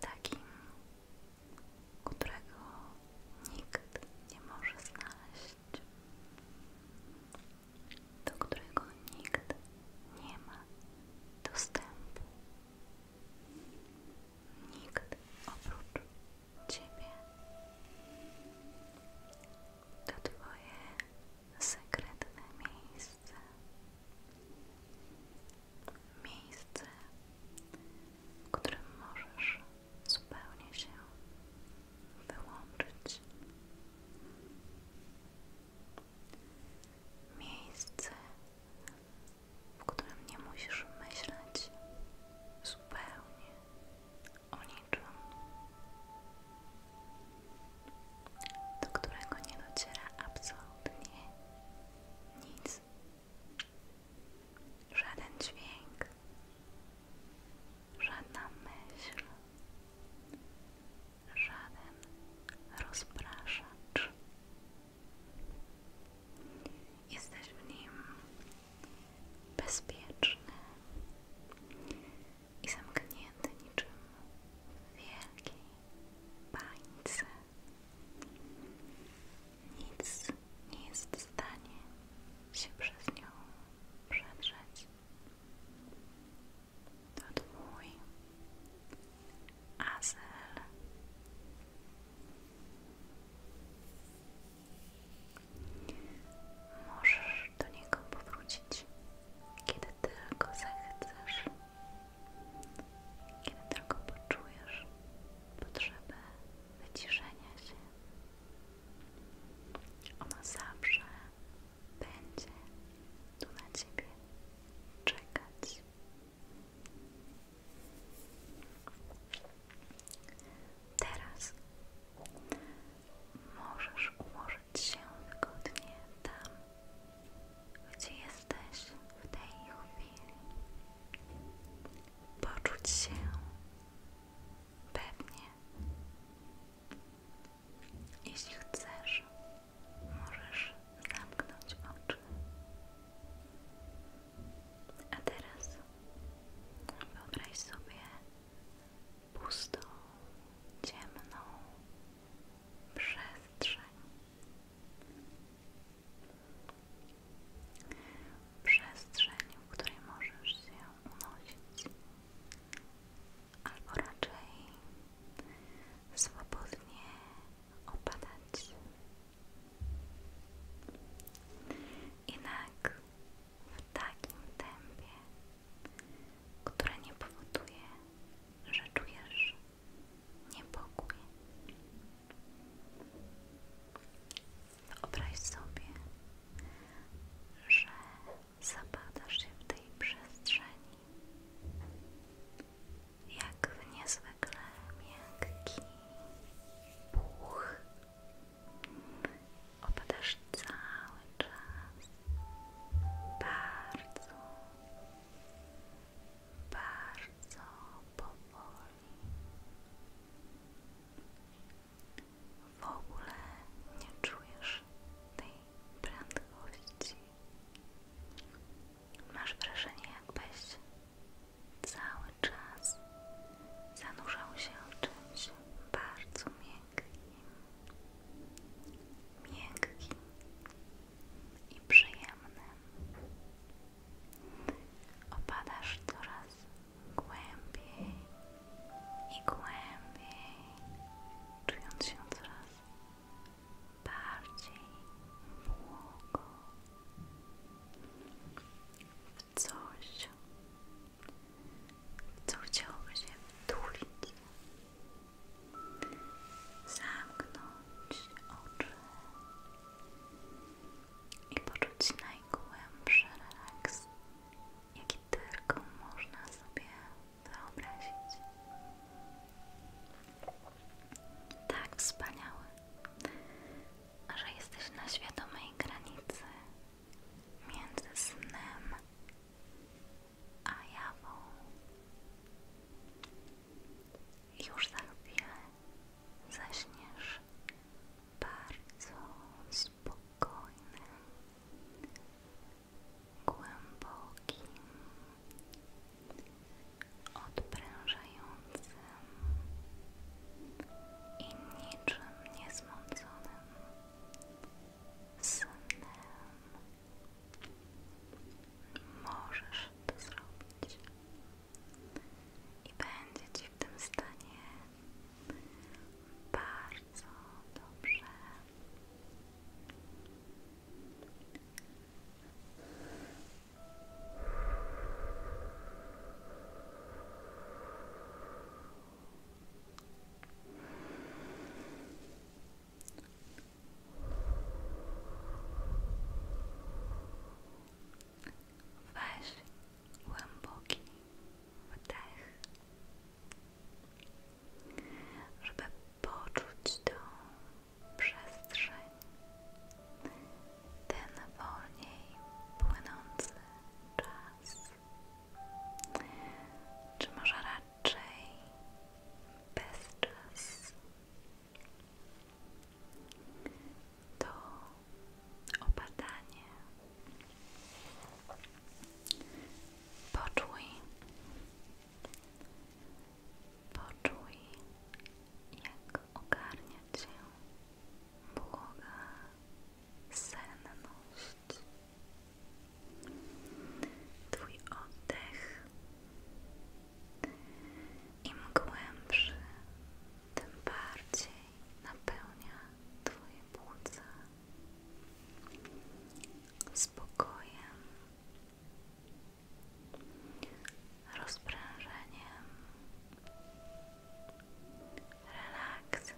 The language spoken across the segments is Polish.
takim, którego nikt nie może znaleźć, do którego nikt nie ma dostępu. Nikt oprócz Ciebie. To Twoje sekretne miejsce. Miejsce, w którym możesz zupełnie się wyłączyć. Miejsce, w którym nie musisz myśleć zupełnie o niczym, do którego nie dociera absolutnie nic. Żaden dźwięk. Żadna myśl. Żaden rozpraszacz. Jesteś w nim bezpieczny i zamknięty niczym w bańce nic nie jest w stanie się przez nią przedrzeć. To twój azyl. Możesz do niego powrócić, kiedy tylko zechcesz. Kiedy tylko poczujesz potrzebę wyciszenia się, ono zawsze będzie tu na Ciebie czekać. Teraz możesz ułożyć się wygodnie tam, gdzie jesteś w tej chwili. Poczuć się pewnie. Jeśli chcesz, możesz zamknąć oczy. A teraz wyobraź sobie pustą, ciemną przestrzeń. Przestrzeń, w której możesz się unosić, albo raczej swobodnie opadać. Jednak w takim tempie, które nie powoduje, że czujesz niepokój. Wyobraź sobie, że zapadasz się w tej przestrzeni jak w niezwykle miękki puch. Opadasz cały czas bardzo bardzo powoli. W ogóle nie czujesz tej prędkości. Masz wrażenie, jakbyś cały czas zanurzał się w czymś bardzo miękkim. Miękkim i przyjemnym. Opadasz coraz głębiej i głębiej, czując się coraz bardziej błogo w coś, co chciałoby się wtulić zamknąć oczy i poczuć najgłębszy relaks, jaki tylko można sobie wyobrazić. Tak wspaniały, że jesteś na świadomej granicy między snem a jawą. Już za tak chwilę zaśniesz bardzo spokojnym, głębokim, odprężającym i niczym niezmąconym snem Możesz to zrobić i będzie Ci w tym stanie bardzo dobrze. Weź głęboki wdech, żeby poczuć tą przestrzeń, ten wolniej płynący czas. Czy może raczej bezczas? to opadanie. Poczuj, poczuj, jak ogarnia cię błoga senność. Twój oddech im głębszy, tym bardziej napełnia Twoje płuca spokojem, rozprężeniem, relaksem.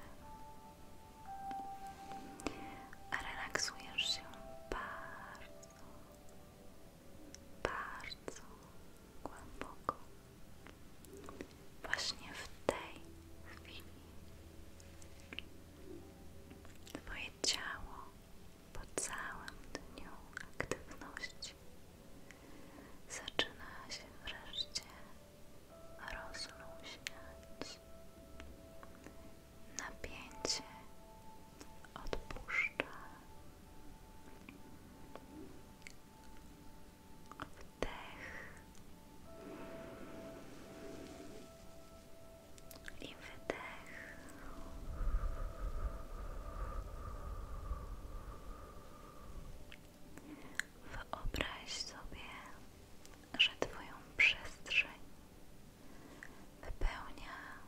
Relaksujesz się bardzo bardzo głęboko. Właśnie w tej chwili Twoje ciało po całym dniu aktywności zaczyna się wreszcie rozluźniać. Napięcie odpuszczę. Wdech i Wyobraź sobie, że Twoją przestrzeń wypełnia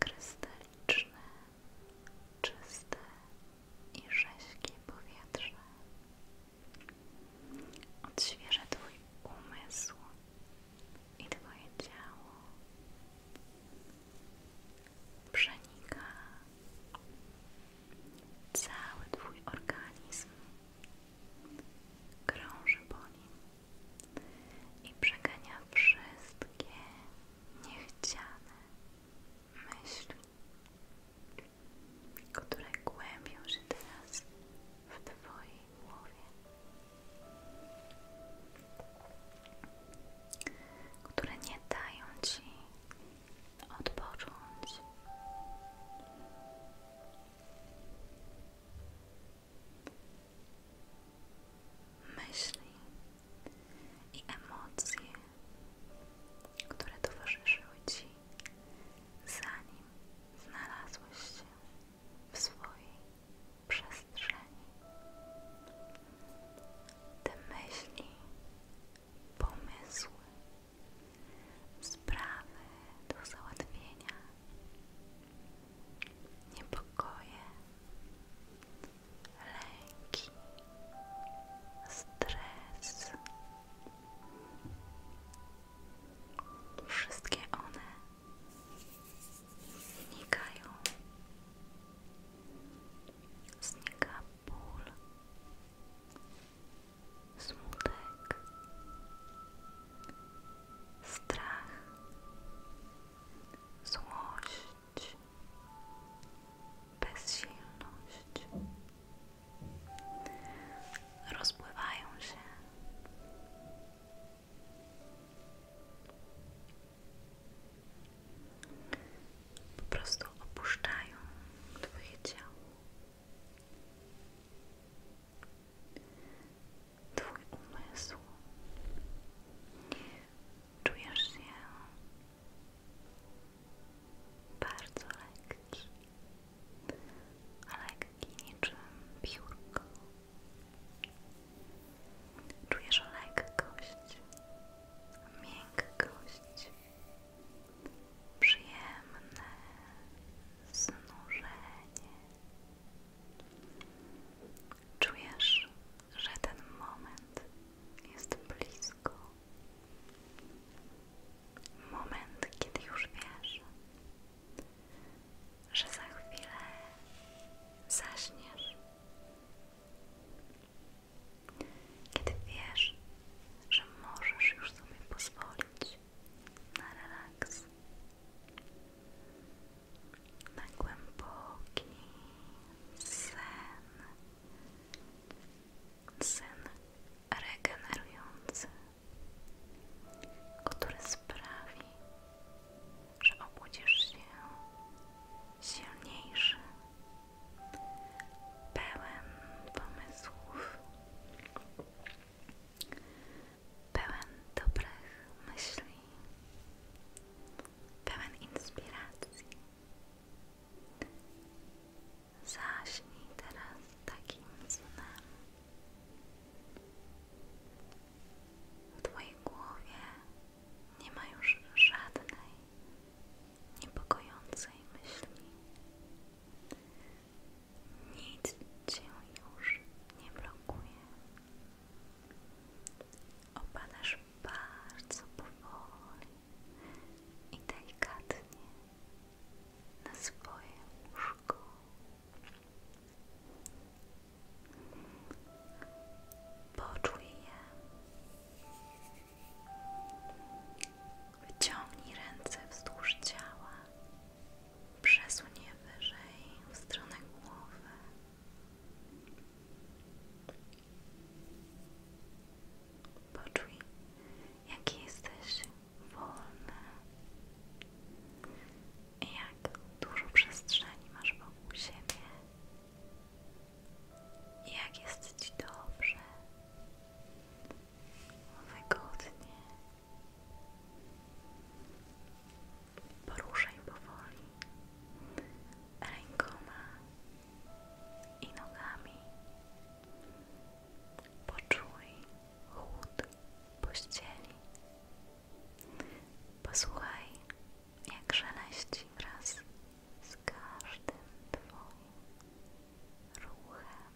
krystaliczne, czyste i rześkie powietrze. Odświeża Twój umysł i Twoje ciało. Przenika cały Twój organizm. Krąży po nim i przegania wszystkie niechciane myśli, które głębią się teraz w Twojej głowie, które nie dają Ci odpocząć myśli i emocje, które towarzyszyły Ci, zanim znalazłeś się w swojej przestrzeni. Te myśli, pomysły, sprawy do załatwienia, niepokoje, lęki, stres. Wszystkie one znikają. Znika ból, smutek, strach, złość, bezsilność. Rozpływają się. Po prostu opuszczają Twoje ciało. Twój umysł. Czujesz się bardzo lekki, lekki niczym piórko. Czujesz lekkość, miękkość, przyjemne znużenie. Czujesz, że ten moment jest blisko. Moment, kiedy już wiesz, że za chwilę zaśniesz. Kiedy wiesz, że możesz już sobie pozwolić na relaks na głęboki sen, sen regenerujący, który sprawi, że obudzisz się silniejszy, pełen pomysłów, pełen dobrych myśli pełen inspiracji. Zaśnij teraz takim snem. W Twojej głowie nie ma już żadnej niepokojącej myśli. Nic Cię już nie blokuje. Opadasz bardzo powoli i delikatnie na swoje łóżko. Poczuj je. Wyciągnij ręce wzdłuż ciała. Przesuń wyżej w stronę głowy. Poczuj, jaki jesteś wolny, jak dużo przestrzeni masz wokół siebie, jak jesteś dobrze, wygodnie poruszaj powoli rękoma i nogami. Poczuj chłód pościeli. Posłuchaj, jak szeleści wraz z każdym Twoim ruchem.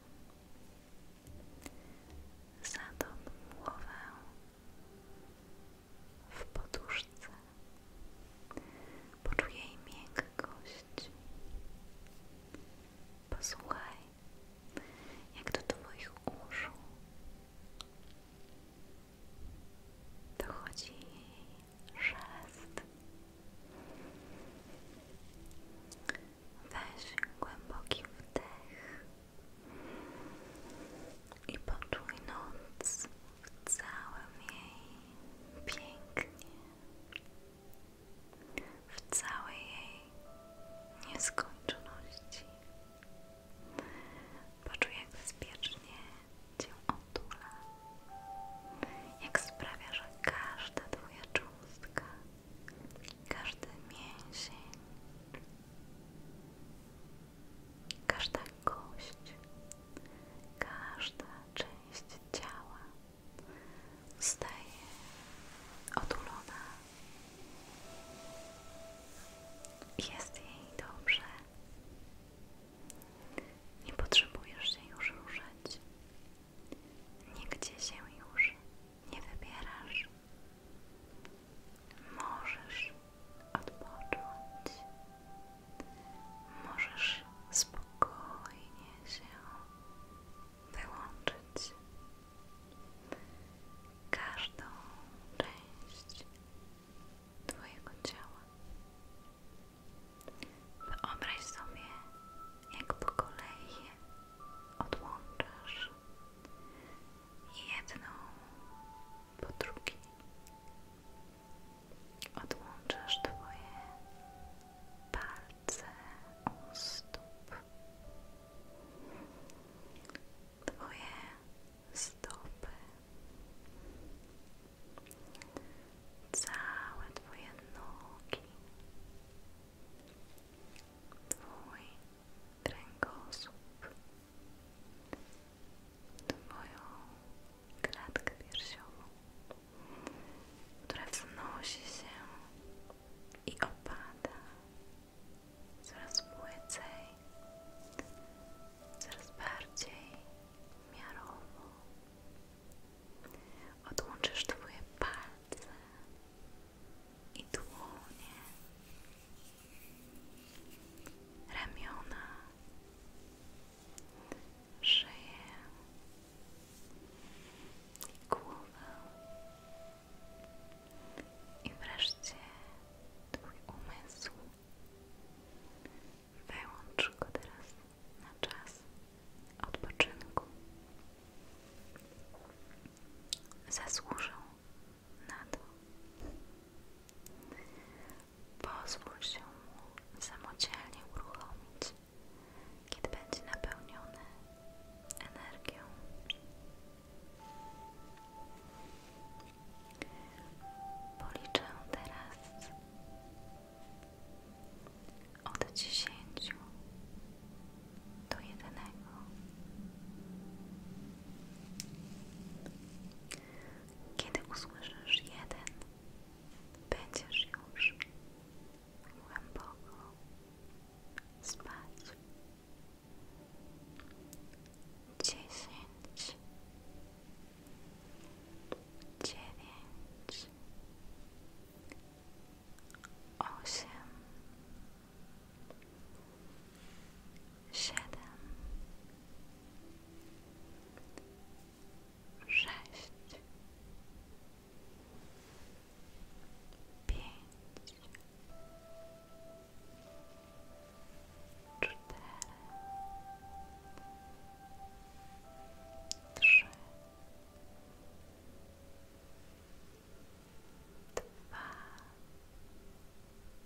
Zatop głowę w poduszce. Poczuj jej miękkość. Posłuchaj, jak do Twoich uszu dochodzi jej szest. Weź głęboki wdech i poczuj noc w całym jej pięknie, w całej jej nieskończoności. Poczuj, jak bezpiecznie Cię otula, jak sprawia, że każda Twoja cząstka, każdy mięsień każda kość, każda część ciała staje otulona. Jest jej dobrze. Nie potrzebujesz się już ruszać. Nigdzie się już nie wybierasz. Możesz odpocząć, możesz spokojnie się wyłączyć. Każdą część Twojego ciała. Wyobraź sobie, jak po kolei odłączasz jedną po drugi odłączasz Twoje palce u Twoje stopy, całe Twoje nogi, Twój kręgosłup. Twoją klatkę piersiową, która wznosi się i opada coraz płycej, coraz bardziej miarowo. Odłączysz Twoje palce i dłonie ramiona, szyję i głowę i wreszcie Twój umysł. Wyłącz go teraz na czas odpoczynku. Zasłużą na to. Pozwól się mu uruchomić, kiedy będzie napełniony energią. Policzę teraz od dziesięciu do jedynego. Kiedy usłyszysz jeden, będziesz już głęboko spać. Dziesięć, dziewięć, osiem, siedem, sześć, pięć, cztery, trzy, dwa,